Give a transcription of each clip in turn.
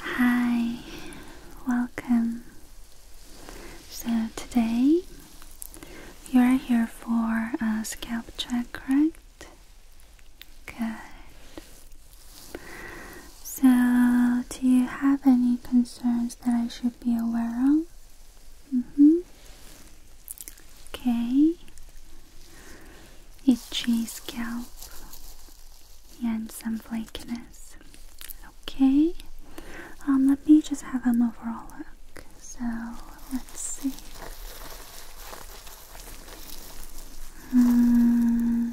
Hi, welcome. So, today you are here for a scalp check, correct? Good. So, do you have any concerns that I should be aware of? Mm hmm. Okay. Itchy scalp and some flakiness. Okay. Um, let me just have an overall look. So let's see. Hmm.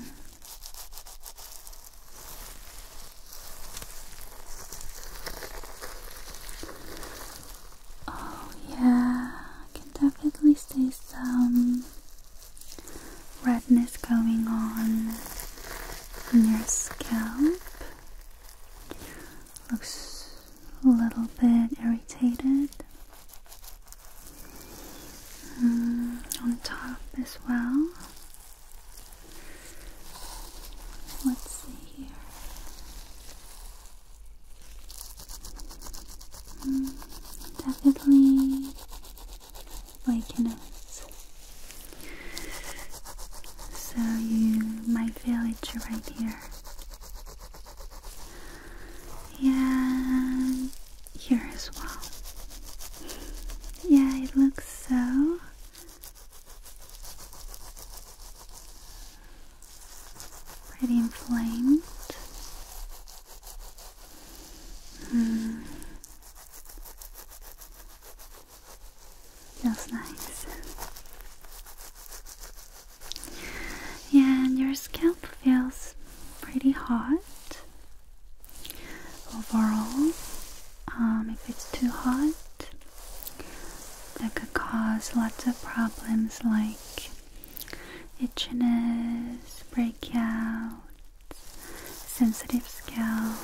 Oh, yeah, I can definitely see some redness going on on your scalp. Looks a little bit irritated. Mm, on top as well. Let's see here. Hmm, definitely waking us. So you might feel it right here. Yeah, here as well. Yeah, it looks so Pretty inflamed. Mm. Feels nice. Yeah, and your scalp feels pretty hot overall. Um, if it's too hot, that could cause lots of problems like itchiness, breakouts, sensitive scalp,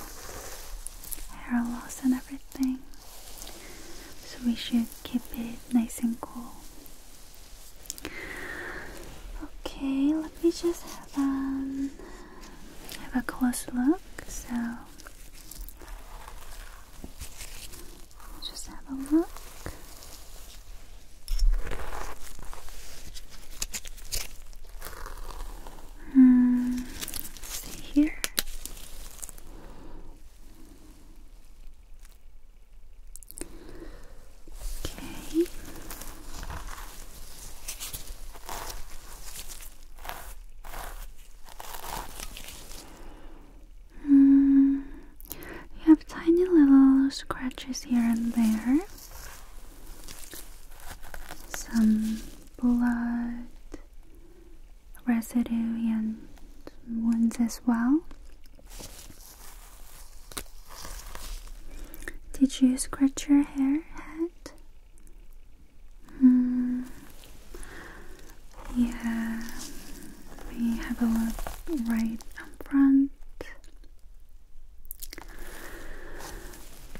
hair loss, and everything. So we should keep it nice and cool. Okay, let me just have, um, have a close look. So just have a look. Hmm, here. Okay. Mm, you have tiny little scratches here and there. Some blood residue and wounds as well. Did you scratch your hair head? Hmm. Yeah, we have a look right up front.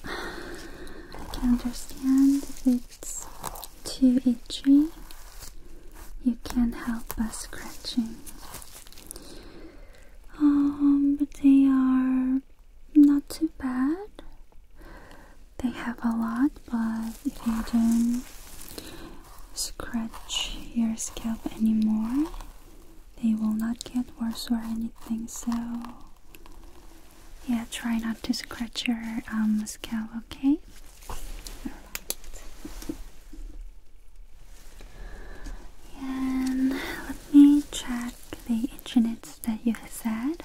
I can understand if it's too itchy. You can't help but scratching. Um, but they are not too bad they have a lot, but if you don't scratch your scalp anymore, they will not get worse or anything. So, yeah, try not to scratch your um, scalp, okay? And let me check the internet that you said.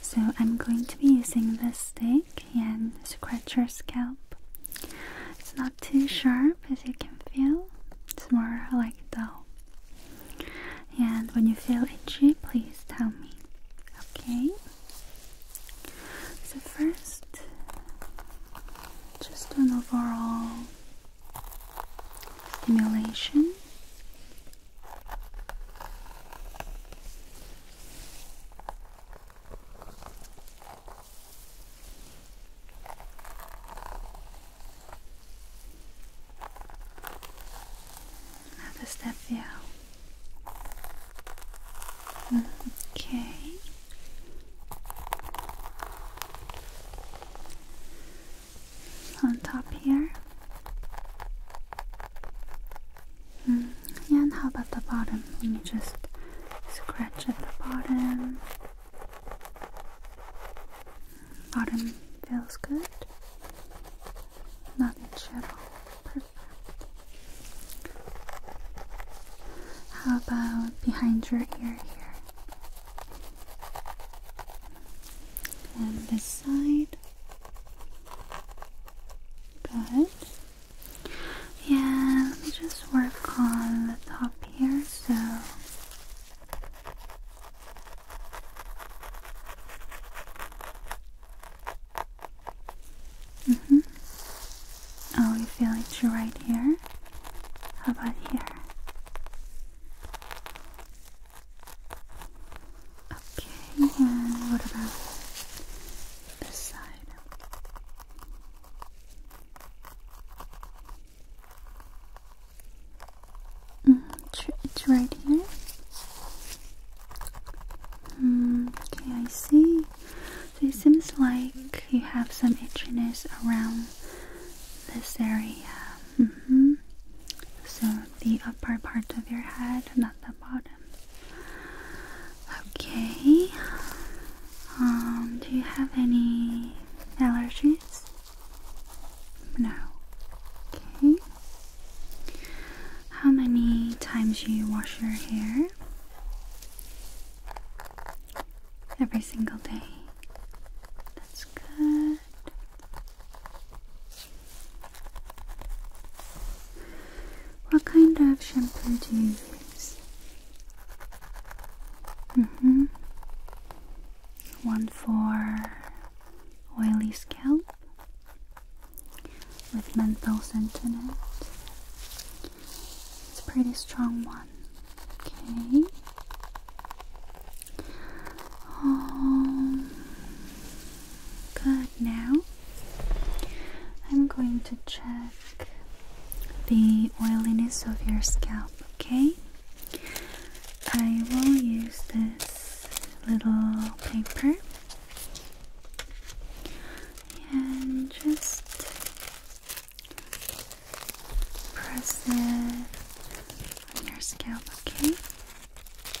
So I'm going to be using this stick and scratch your scalp. It's not too sharp as you can feel. It's more like dull. And when you feel itchy, please tell me. Okay? So first, just an overall stimulation Another step here. Okay on top here. Yeah, mm, And how about the bottom? Let me just scratch at the bottom. Bottom feels good. Not itch at all. Perfect. How about behind your ear here? And this side. Good. Yeah, let me just work on the top here. So. Mm hmm Oh, you feel it's right here? How about here? Okay, and what about this side? Mm, it's right here. Mm, okay, I see. So it seems like you have some itchiness around this area. Mm -hmm. So the upper part of your head, not the bottom. Okay. Um, do you have any allergies? No. Okay. How many times do you wash your hair? Every single day. That's good. What kind of shampoo do you use? hmm One for oily scalp with menthol scent in it. It's a pretty strong one. Okay. Um, good. Now I'm going to check the oiliness of your scalp. Okay. I will use this little paper and just press it on your scalp, okay?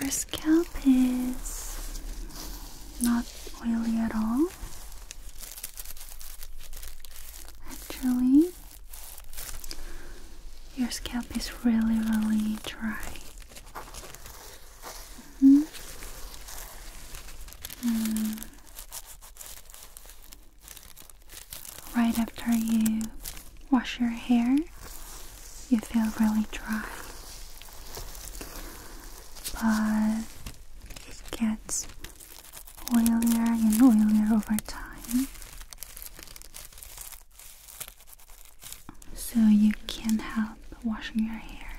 your scalp is not oily at all. Actually, your scalp is really, really dry. Mm-hmm. Mm. Right after you wash your hair, you feel really dry. But it gets oilier and oilier over time. So you can't help washing your hair.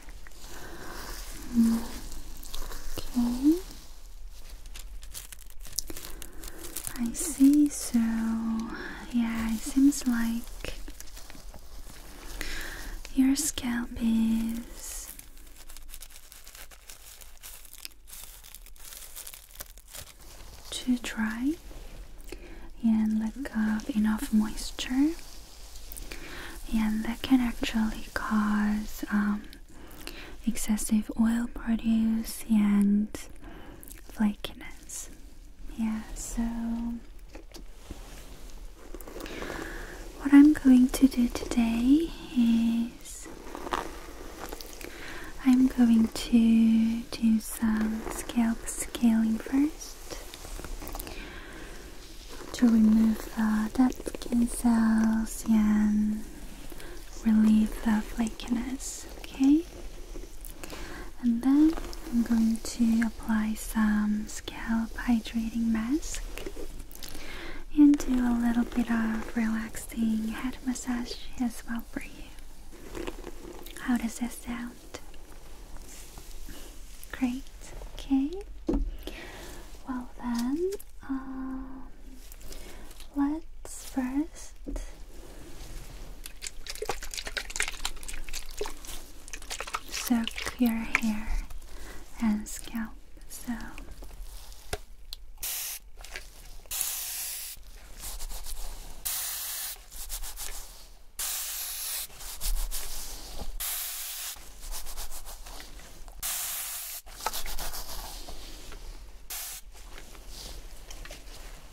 Okay. I see, so yeah, it seems like your scalp is too dry and lack of enough moisture, and that can actually cause um, excessive oil produce and flakiness. Yeah, so what I'm going to do today is I'm going to do some scalp scaling first to remove the dead skin cells and relieve the flakiness, okay? And then I'm going to apply some scalp hydrating mask and do a little bit of relaxing head massage as well for you. How does that sound? Great, okay. Well, then, um, let's first soak your hair and scalp so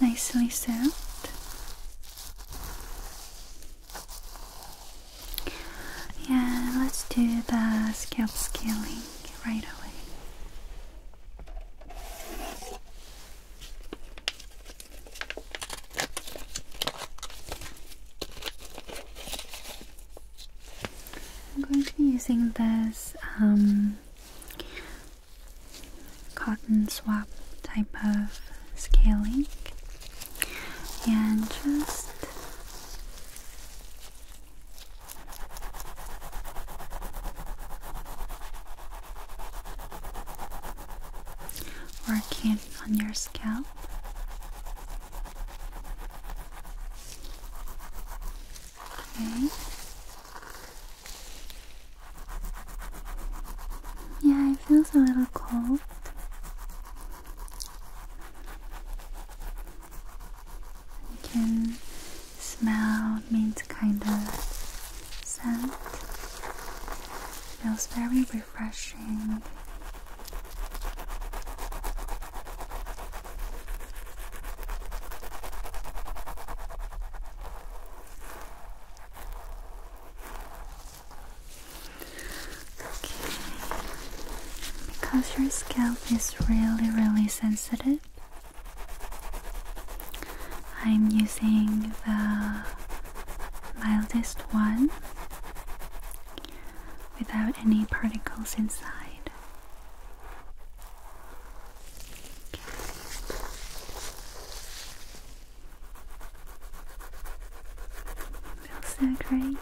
Nicely served. Yeah, let's do the scalp scaling right away. I'm going to be using this um, cotton swab type of scaling and just working on your scalp Okay. Yeah, it feels a little cold. You can smell mint kind of scent. Feels very refreshing because your scalp is really, really sensitive, I'm using the mildest one without any particles inside. Feels so great.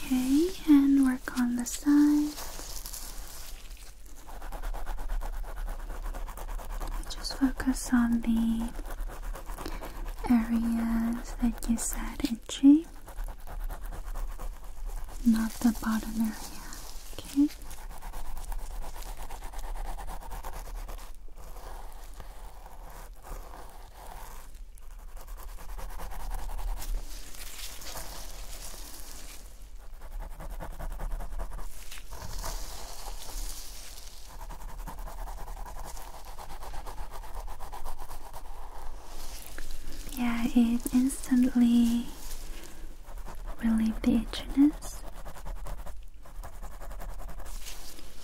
Okay, and work on the side. Just focus on the areas that you said itchy, not the bottom area. Okay. Yeah, it instantly relieved the itchiness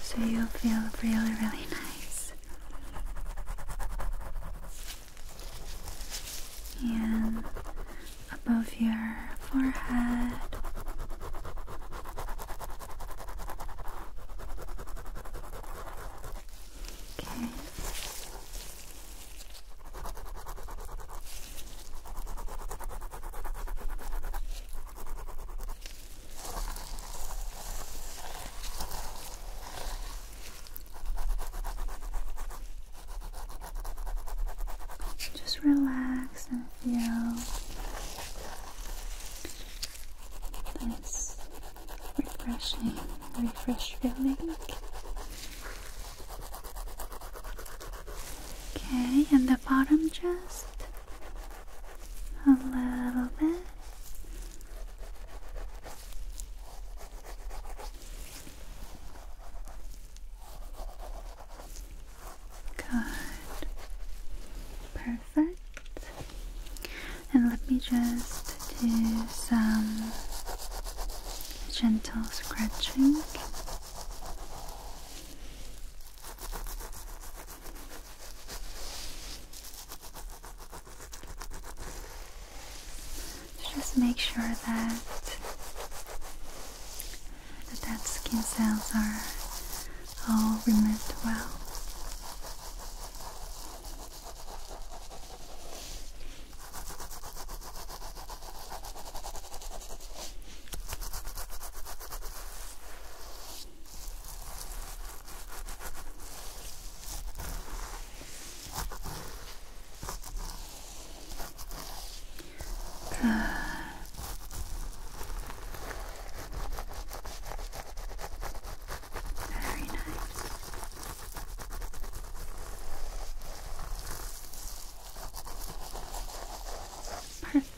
so you'll feel really, really nice. And above your forehead. Okay. Just relax and feel this refreshing, refresh feeling. Okay, and the bottom just a little bit. Good. Perfect. And let me just do some gentle scratching. Just make sure that the skin cells are all removed well. Good. Very nice.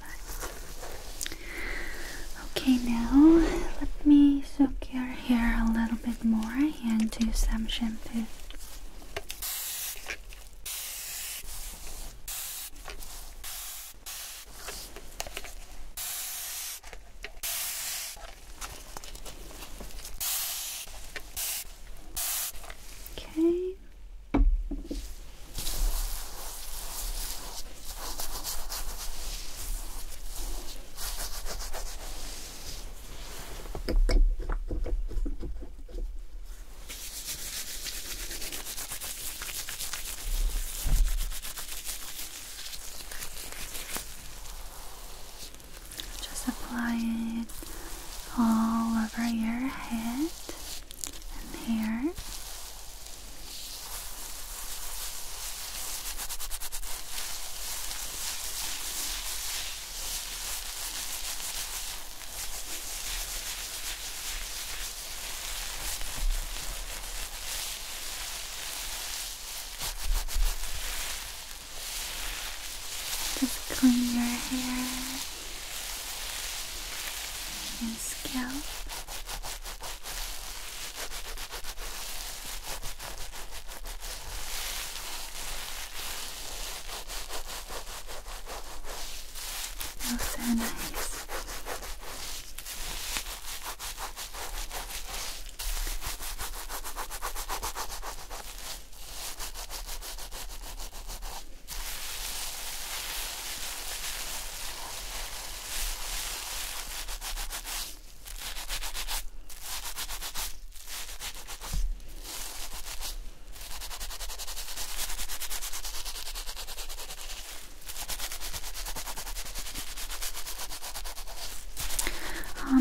Okay, now let me soak your hair a little bit more and do some shampoo. Okay. Just apply it all over your head and here. Just clean your hair and scalp. so nice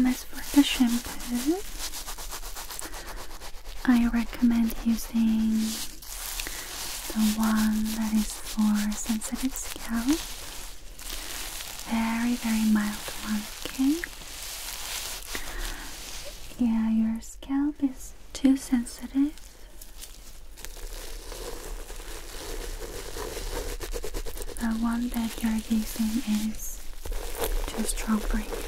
as for the shampoo, I recommend using the one that is for sensitive scalp. Very, very mild one, okay? Yeah, your scalp is too sensitive. The one that you're using is too strong for you.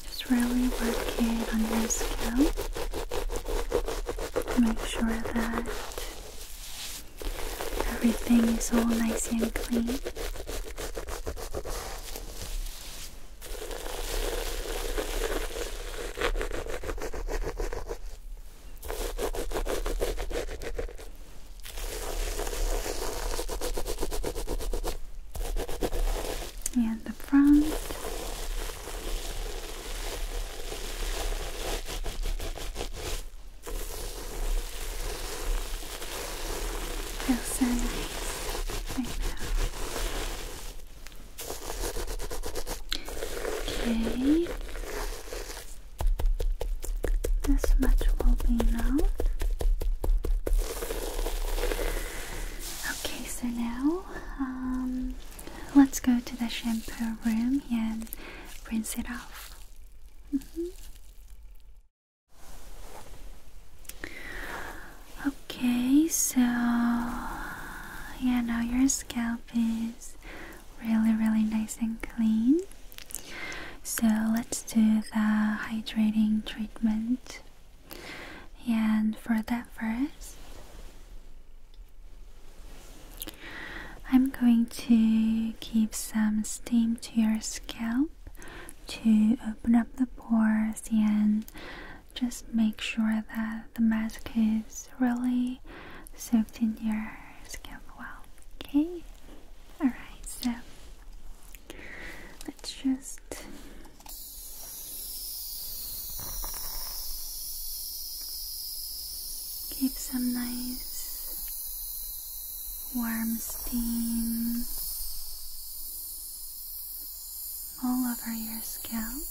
Just really work it on your scalp. Make sure that everything is all nice and clean. And the front. Okay. This much will be now. Okay, so now um, let's go to the shampoo room and rinse it off. Mm-hmm. Okay, so yeah, now your scalp is really, really nice and clean. So let's do the hydrating treatment. And for that, first, I'm going to give some steam to your scalp to open up the pores and just make sure that the mask is really soaked in your scalp well. Okay? Alright, so let's just. Keep some nice warm steam all over your scalp.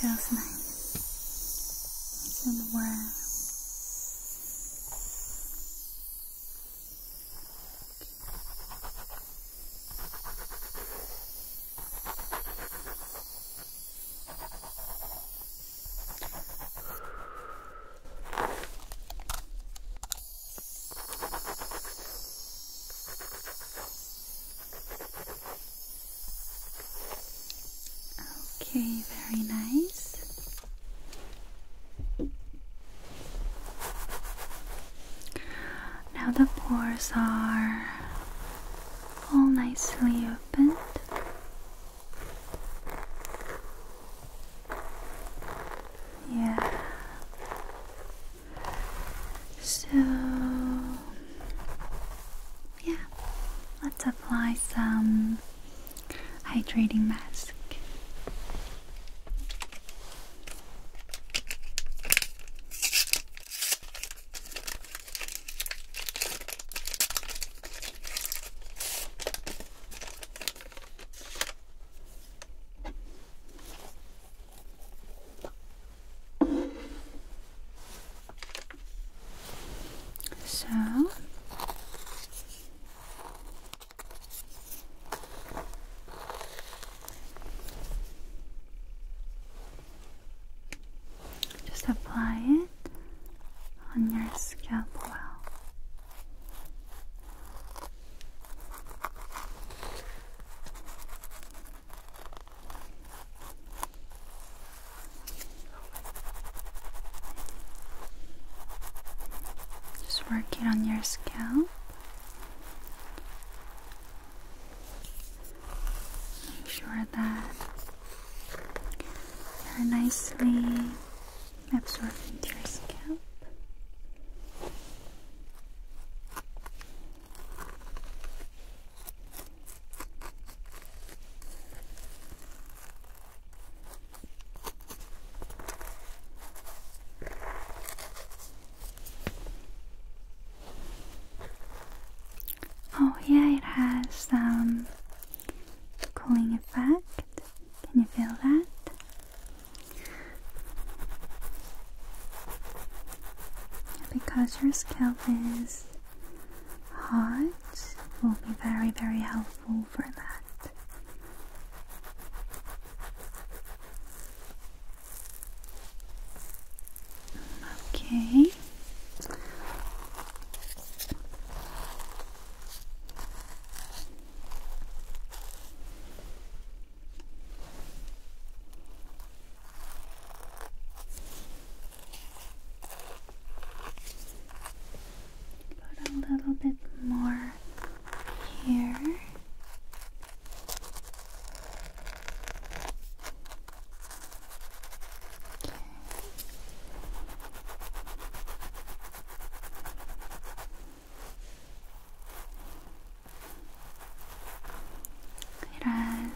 Feels nice and warm. Okay, very nice. Now the pores are all nicely opened. Yeah. So, yeah, let's apply some hydrating mask. So just apply it on your scalp well. Just work it on your scalp. Make sure that they're nicely absorb into your scalp. Oh, yeah, it has some um, cooling effect. Can you feel that? Because your scalp is hot, will be very, very helpful for that. Okay. Put a little bit more here. It has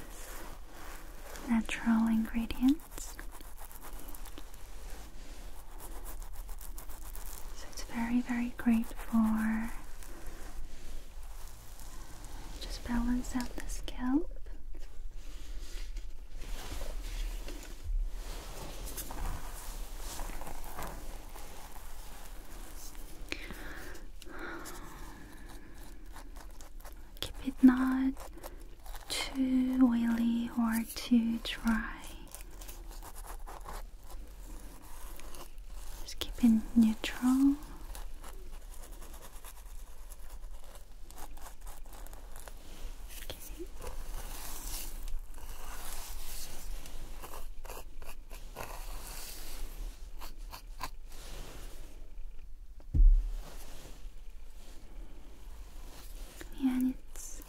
natural ingredients, so it's very, very great for just balance out the scalp. Keep it not too oily or too dry. Just keep it neutral and it's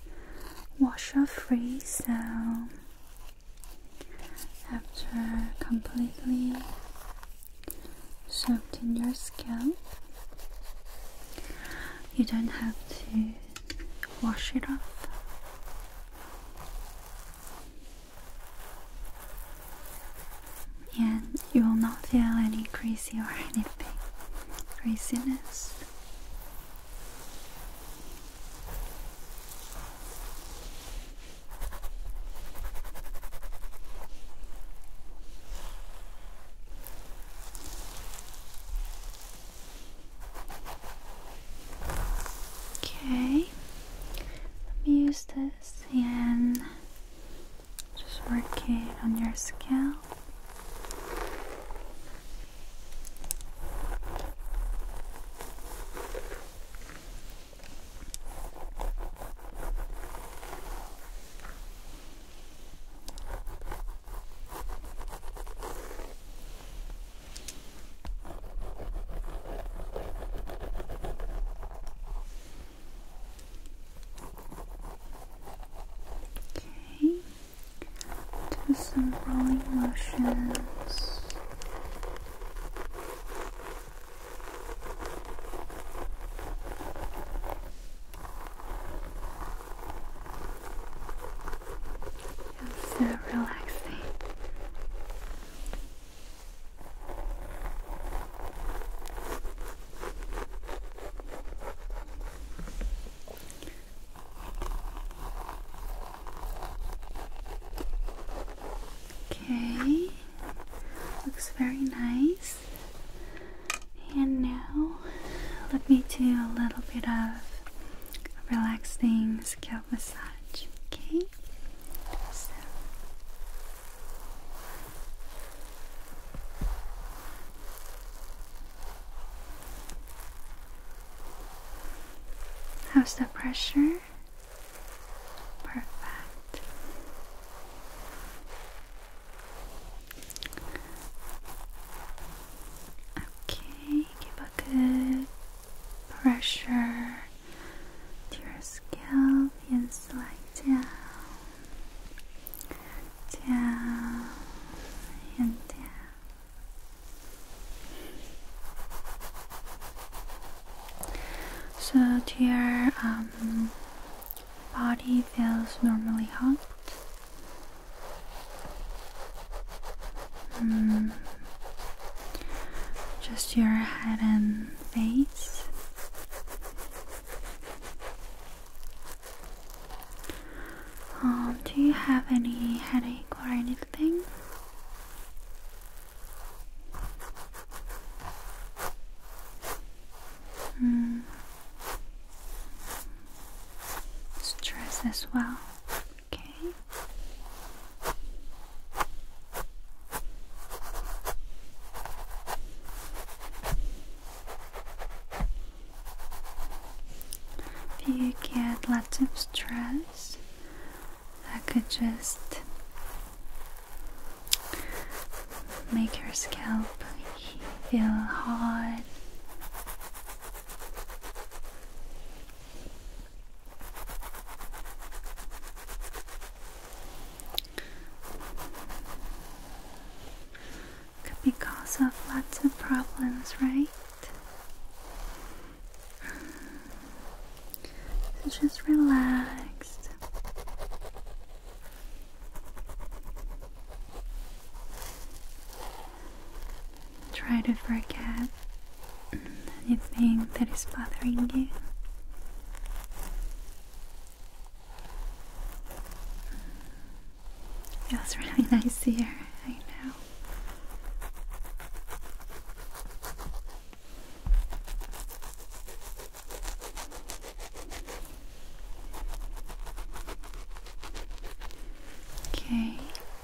washer free, so after completely soaked in your scalp, you don't have to wash it off. And you will not feel any greasy or anything. greasiness. Okay, let me use this and just work it on your scalp. Okay, do some rolling motions. It's so relaxing. Okay, looks very nice. And now, let me do a little bit of relaxing scalp massage. Okay? How's the pressure? Perfect. Okay, give a good pressure to your scalp and slide down, down, and down. So, your um, body feels normally hot? Hmm. Just your head and face. Um, do you have any headache or anything? Mm stress as well. Okay. If you get lots of stress, I could just make your scalp feel hard. Could be cause of lots of problems, right? So just relax. Try to forget anything that is bothering you. Feels really nice here, I know. Okay,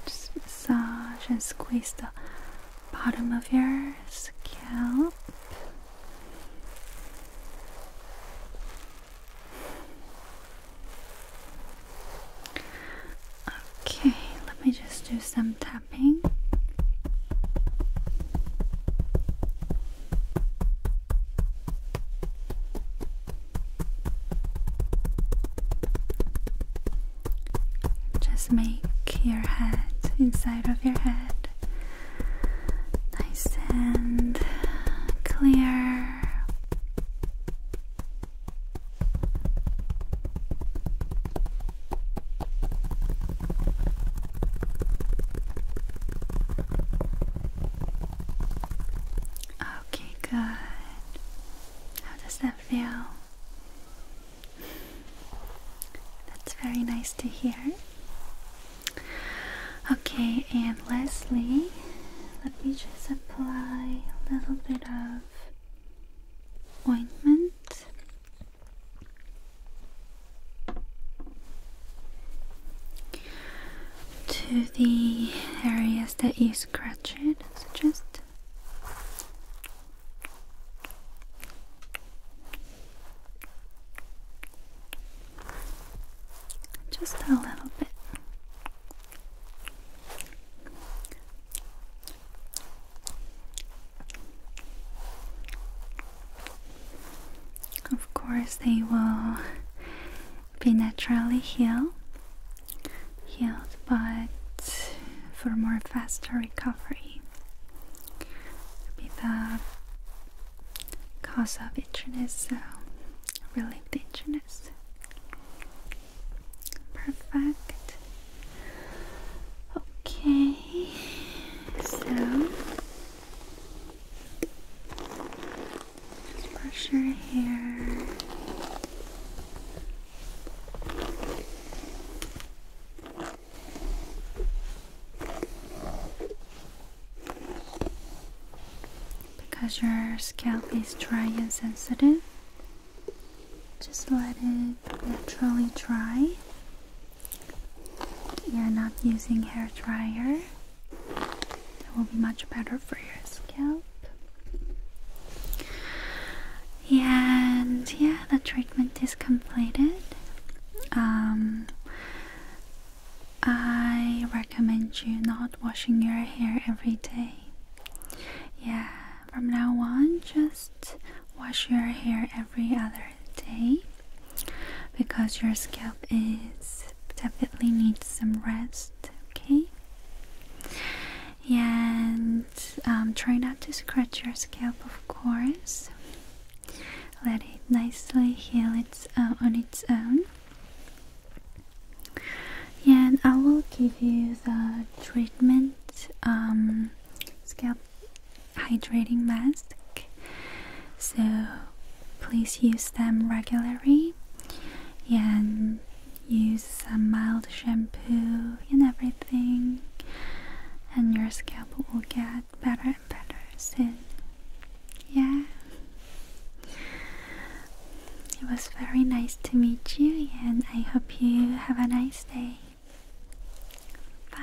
just massage and squeeze the bottom of your scalp. Okay, let me just do some tapping. Just make your head, inside of your head, nice and clear. Okay, good. How does that feel? That's very nice to hear. Okay, and lastly, let me just apply a little bit of ointment to the areas that you scratched, it, just just a little bit. Of course, they will be naturally healed, healed but for more faster recovery. Be the cause of itchiness, so relieve the itchiness. Perfect. Okay, so just brush your hair. Because your scalp is dry and sensitive, just let it naturally dry. You're not using hair dryer. It will be much better for your scalp. And yeah, the treatment is completed. Um, I recommend you not washing your hair every day. Yeah, from now on, just wash your hair every other day because your scalp is definitely needs some rest, okay? And um, try not to scratch your scalp, of course. Let it nicely heal its uh, on its own. And I will give you the treatment um, scalp hydrating mask so please use them regularly and use some mild shampoo and everything and your scalp will get better and better soon yeah it was very nice to meet you and i hope you have a nice day bye